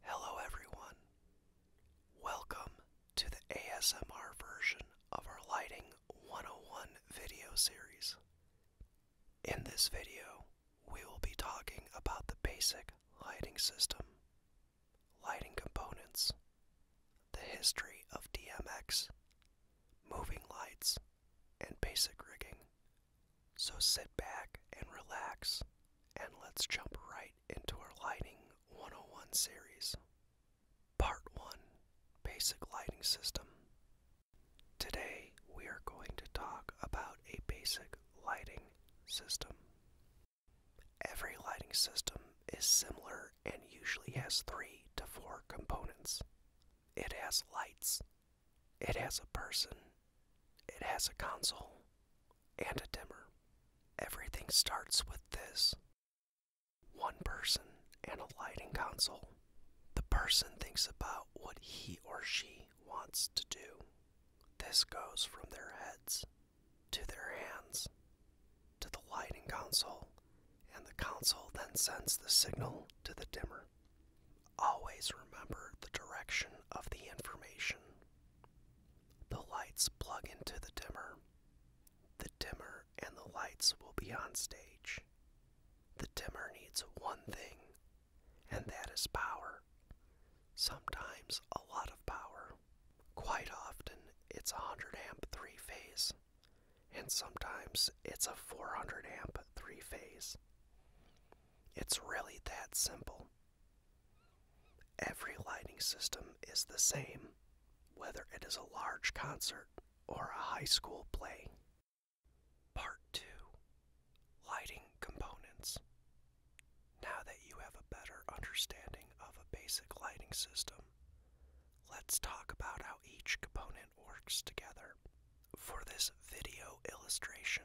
Hello, everyone. Welcome to the ASMR version of our Lighting 101 video series. In this video, we will be talking about the basic lighting system, lighting components, the history of DMX, moving lights, and basic rigging. So sit back and relax, and let's jump right in into our Lighting 101 series. Part 1 Basic Lighting System. Today we are going to talk about a basic lighting system. Every lighting system is similar and usually has three to four components. It has lights, it has a person, it has a console and a dimmer. Everything starts with this one person and a lighting console. The person thinks about what he or she wants to do. This goes from their heads to their hands to the lighting console, and the console then sends the signal to the dimmer. Always remember the direction of the information the lights plug into the dimmer. The dimmer and the lights will be on stage. The dimmer needs one thing, and that is power. Sometimes a lot of power. Quite often, it's a 100 amp three phase, and sometimes it's a 400 amp three phase. It's really that simple. Every lighting system is the same, whether it is a large concert or a high school play. Part 2 Lighting Components. Now that you have a better understanding of a basic lighting system, let's talk about how each component works together. For this video illustration,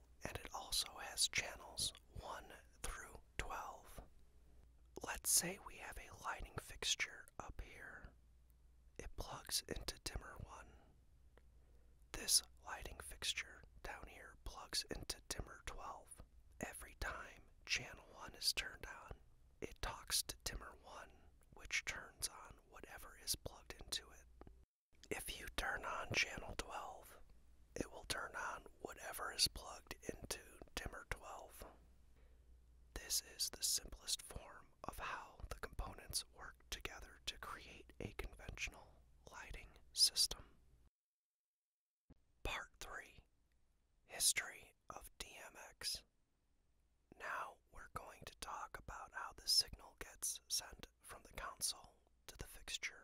and it also has channels 1 through 12. Let's say we have a lighting fixture up here. It plugs into dimmer 1. This lighting fixture down here plugs into dimmer 12. Every time channel 1 is turned on, it talks to dimmer 1, which turns on whatever is plugged into it. If you turn on channel 12, it will turn on whatever is plugged into dimmer 12. This is the simplest form of how the components work together to create a conventional lighting system. Part 3 History of DMX. Now we're going to talk about how the signal gets sent from the console to the fixture.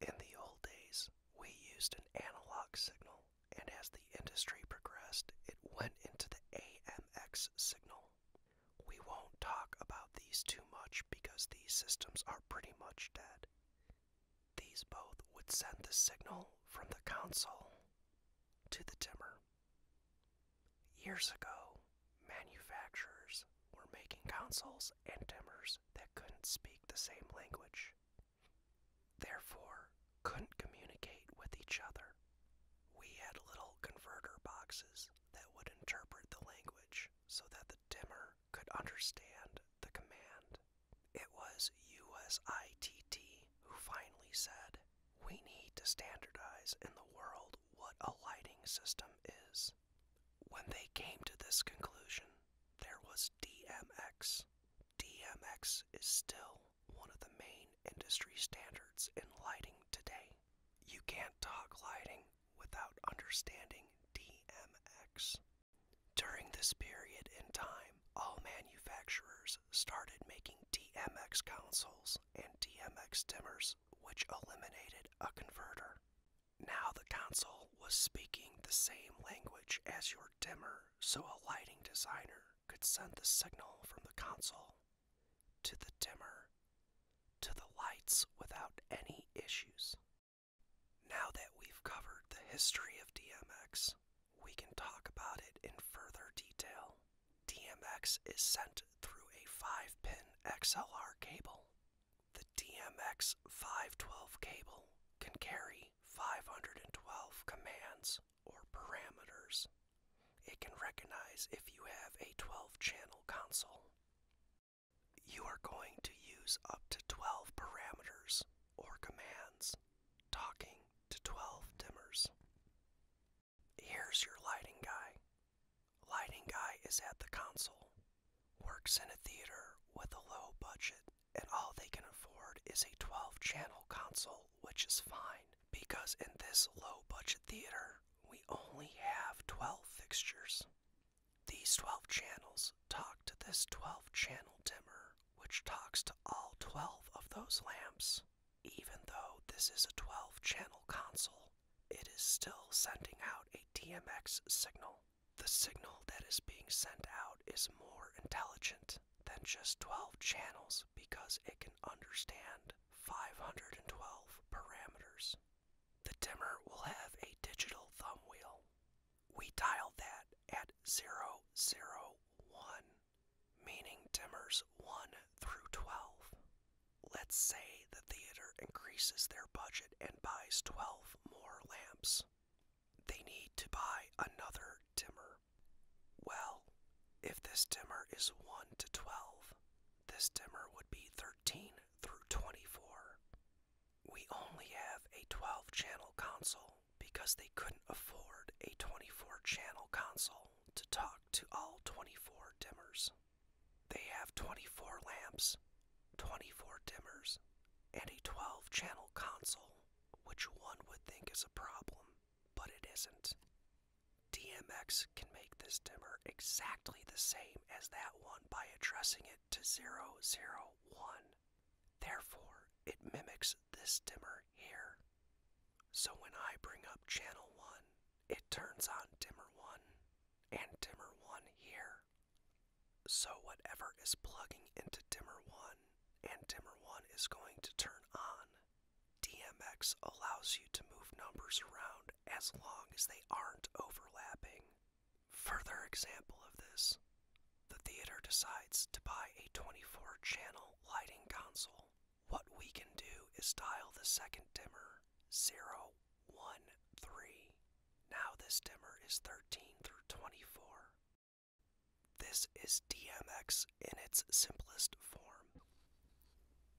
In the old days, we used an analog signal, and as the industry progressed, it went into the AMX signal. We won't talk about these too much because these systems are pretty much dead. These both would send the signal from the console to the dimmer. Years ago, manufacturers were making consoles and dimmers that couldn't speak the same language, therefore, couldn't communicate with each other. We had little converter boxes that would interpret the language so that the dimmer could understand the command. It was USITT who finally said, We need to standardize in the world what a lighting system is when they came to this conclusion, there was DMX. DMX is still one of the main industry standards in lighting today. You can't talk lighting without understanding DMX. During this period in time, all manufacturers started making DMX consoles and DMX dimmers which eliminated a converter. Now the console was speaking the same language as your dimmer, so a lighting designer could send the signal from the console to the dimmer to the lights without any issues. Now that we've covered the history of DMX, we can talk about it in further detail. DMX is sent through a 5 pin XLR cable. The DMX 512 cable can carry 512 commands or parameters. It can recognize if you have a 12 channel console. You are going to use up to 12 parameters or commands, talking to 12 dimmers. Here's your lighting guy. Lighting guy is at the console, works in a theater with a low budget, and all they can afford is a 12 channel console, which is fine because in this low budget theater, we only have 12 fixtures. These 12 channels talk to this 12 channel dimmer, which talks to all 12 of those lamps. Even though this is a 12 channel console, it is still sending out a DMX signal. The signal that is being sent out is more intelligent than just 12 channels because it can understand 512 parameters. The dimmer will have a digital thumb wheel. We dial that at zero zero one, meaning dimmers 1 through 12. Let's say the theater increases their budget and buys 12 more lamps. They need to buy another dimmer. Well, if this dimmer is 1 to 12, this dimmer would be 13 through 24. We only have a 12 channel console because they couldn't afford a 24 channel console to talk to all 24 dimmers. They have 24 lamps, 24 dimmers, and a 12 channel console, which one would think is a problem, but it isn't. DMX can make this dimmer exactly the same as that one by addressing it to 001. Therefore, it mimics this dimmer here. So when I bring up channel 1, it turns on dimmer 1 and dimmer 1 here. So whatever is plugging into dimmer 1 and dimmer 1 is going to turn on. DMX allows you to move numbers around as long as they aren't overlapping. Further example of this, the theater decides to buy a 24 channel lighting console. What we can do is dial the second dimmer 0, 1, 3. Now this dimmer is 13 through 24. This is DMX in its simplest form.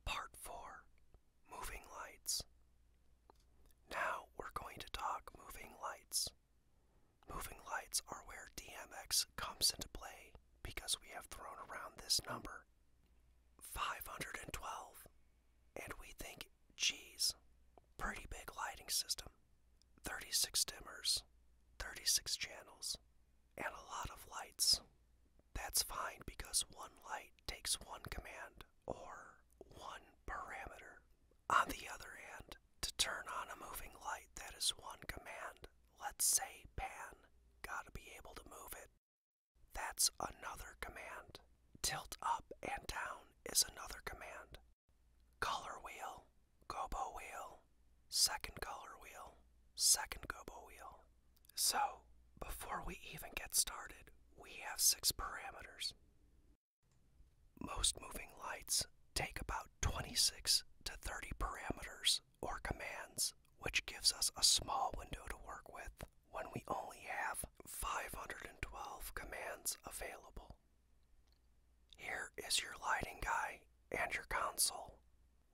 Part 4 Moving Lights. Now we're going to talk moving lights. Moving lights are where DMX comes into play because we have thrown around this number 512. And we think, geez, pretty big lighting system. 36 dimmers, 36 channels, and a lot of lights. That's fine because one light takes one command or one parameter. On the other hand, to turn on a moving light, that is one command. Let's say pan. Gotta be able to move it that's another command. Tilt up and down is another command. Color wheel, gobo wheel, second color wheel, second gobo wheel. So, before we even get started, we have six parameters. Most moving lights take about 26 to 30 parameters or commands, which gives us a small window to work with when we only have 512 commands available. Here is your lighting guy and your console.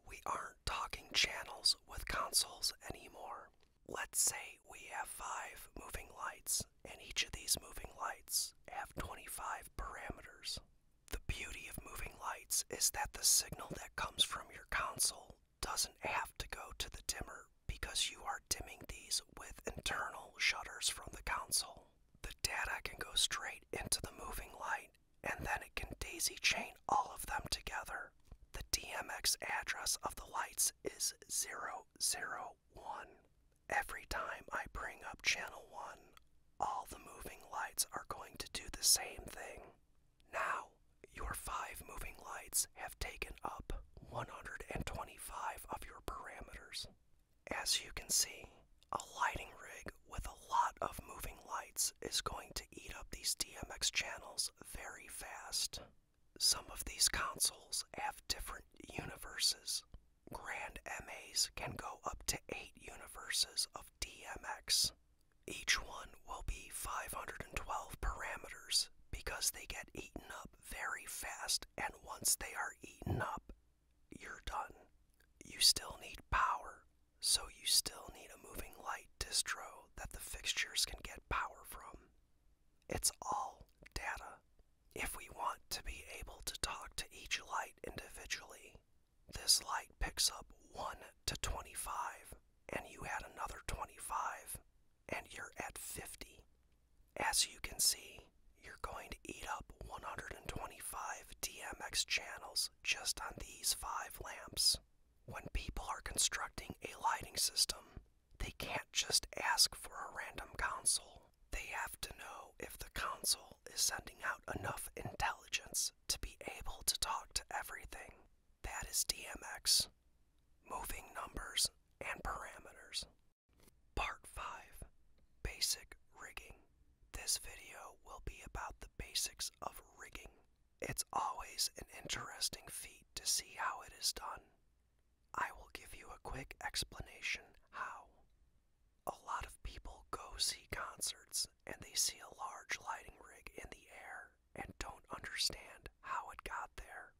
We aren't talking channels with consoles anymore. Let's say we have five moving lights, and each of these moving lights have 25 parameters. The beauty of moving lights is that the signal that comes from your console doesn't have to go to the dimmer because you are dimming these with internal shutters from the console. The data can go straight into the moving light and then it can daisy chain all of them together. The DMX address of the lights is 001. Every time I bring up channel 1, all the moving lights are going to do the same thing. Now, your five moving lights have taken up 125 of your parameters. As you can see, a lighting rig with a lot of moving lights is going to eat up these DMX channels very fast. Some of these consoles have different universes. Grand MAs can go up to 8 universes of DMX. Each one will be 512 parameters because they get eaten up very fast, and once they are eaten up, you're done. You still need power, so you still need a moving light distro that the fixtures can get power from. It's all data. If we want to be able to talk to each light individually, this light picks up 1 to 25, and you add another 25, and you're at 50. As you can see, you're going to eat up 125 DMX channels just on these five lamps. When people are constructing a lighting system, they can't just ask for a random console. They have to know if the console is sending out enough intelligence to be able to talk to everything. That is DMX, moving numbers and parameters. Part 5 Basic Rigging. This video will be about the basics of rigging. It's always an interesting feat to see how it is done. I will give you a quick explanation how. A lot of people go see concerts and they see a large lighting rig in the air and don't understand how it got there.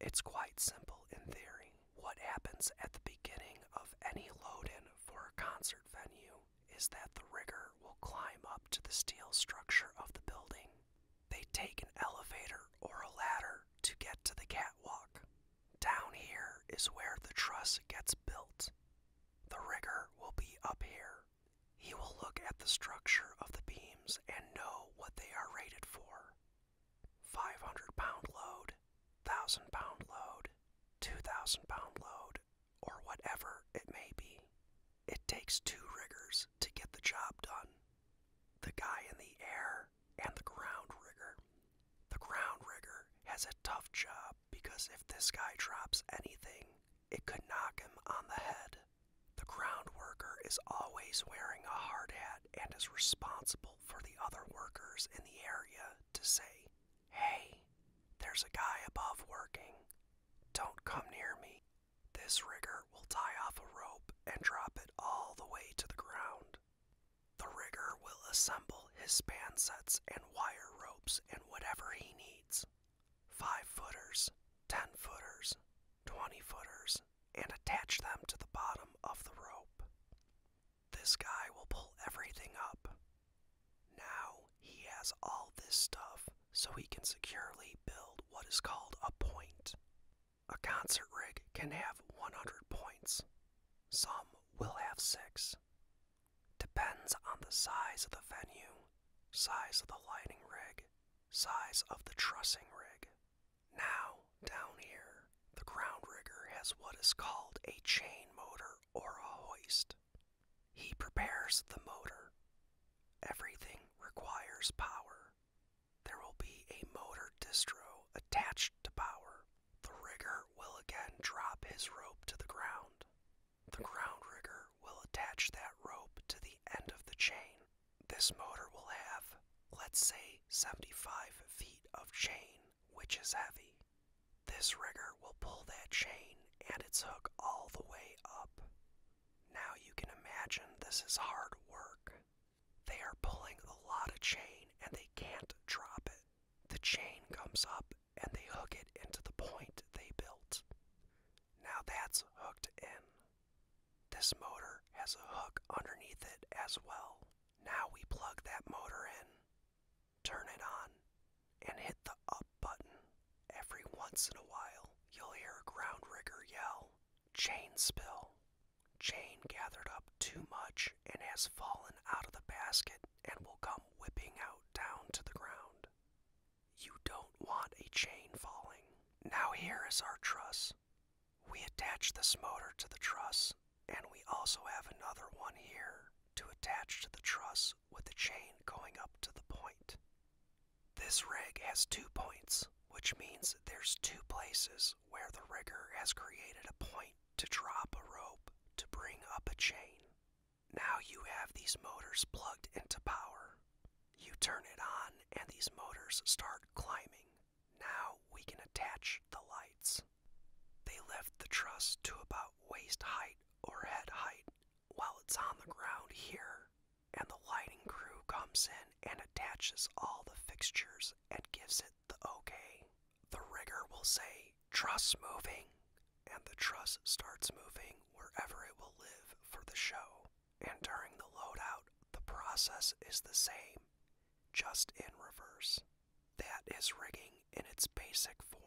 It's quite simple in theory. What happens at the beginning of any load in for a concert venue is that the rigger will climb up to the steel structure of the building. They take an elevator or a ladder to get to the catwalk. Down here is where the truss gets built. The rigger will be up here. He will look at the structure of the beams and know what they are rated for 500 pound load, 1,000 pound load, 2,000 pound load, or whatever it may be. It takes two riggers to get the job done the guy in the air and the ground rigger the ground rigger has a tough job because if this guy drops anything, it could knock him on the head. The ground worker is always wearing a hard hat and is responsible for the other workers in the area to say, Hey, there's a guy above working. Don't come near me. This rigger will tie off a rope and drop it all the way to the ground. The rigger will assemble his span sets and wire ropes and whatever he needs. Five footers, ten footers, twenty footers, and attach them to the bottom of the rope. This guy will pull everything up. Now he has all this stuff so he can securely build what is called a point. A concert rig can have 100 points. Some will have six. Depends on the size of the venue, size of the lighting rig, size of the trussing rig. Now, down here, the ground rigger has what is called a chain motor or a hoist. He prepares the motor. Everything requires power. There will be a motor distro attached to power. The rigger will again drop his rope to the ground. The ground rigger will attach that rope to the end of the chain. This motor will have, let's say, 75 feet of chain, which is heavy. This rigger will pull that chain and its hook all the way up. Now you can imagine this is hard work. They are pulling a lot of chain and they can't drop it. The chain comes up and they hook it into the point they built. Now that's hooked in. This motor has a hook underneath it as well. Now we plug that motor in, turn it on, and hit the up button. Every once in a while, you'll hear a ground rigger yell, Chain spill. Chain gathered up too much and has fallen out of the basket and will come whipping out down to the ground. You don't want a chain falling. Now here is our truss. We attach this motor to the truss, and we also have another one here to attach to the truss with the chain going up to the point. This rig has two points, which means there's two places where the rigger has created a point to drop a rope to bring up a chain. Now you have these motors plugged into power. You turn it on and these motors start climbing. Now we can attach the lights. They lift the truss to about waist height or head height while it's on the ground here, and the lighting crew comes in and attaches all the fixtures and gives it the okay the rigger will say, truss moving, and the truss starts moving wherever it will live for the show. And during the loadout, the process is the same, just in reverse. That is rigging in its basic form.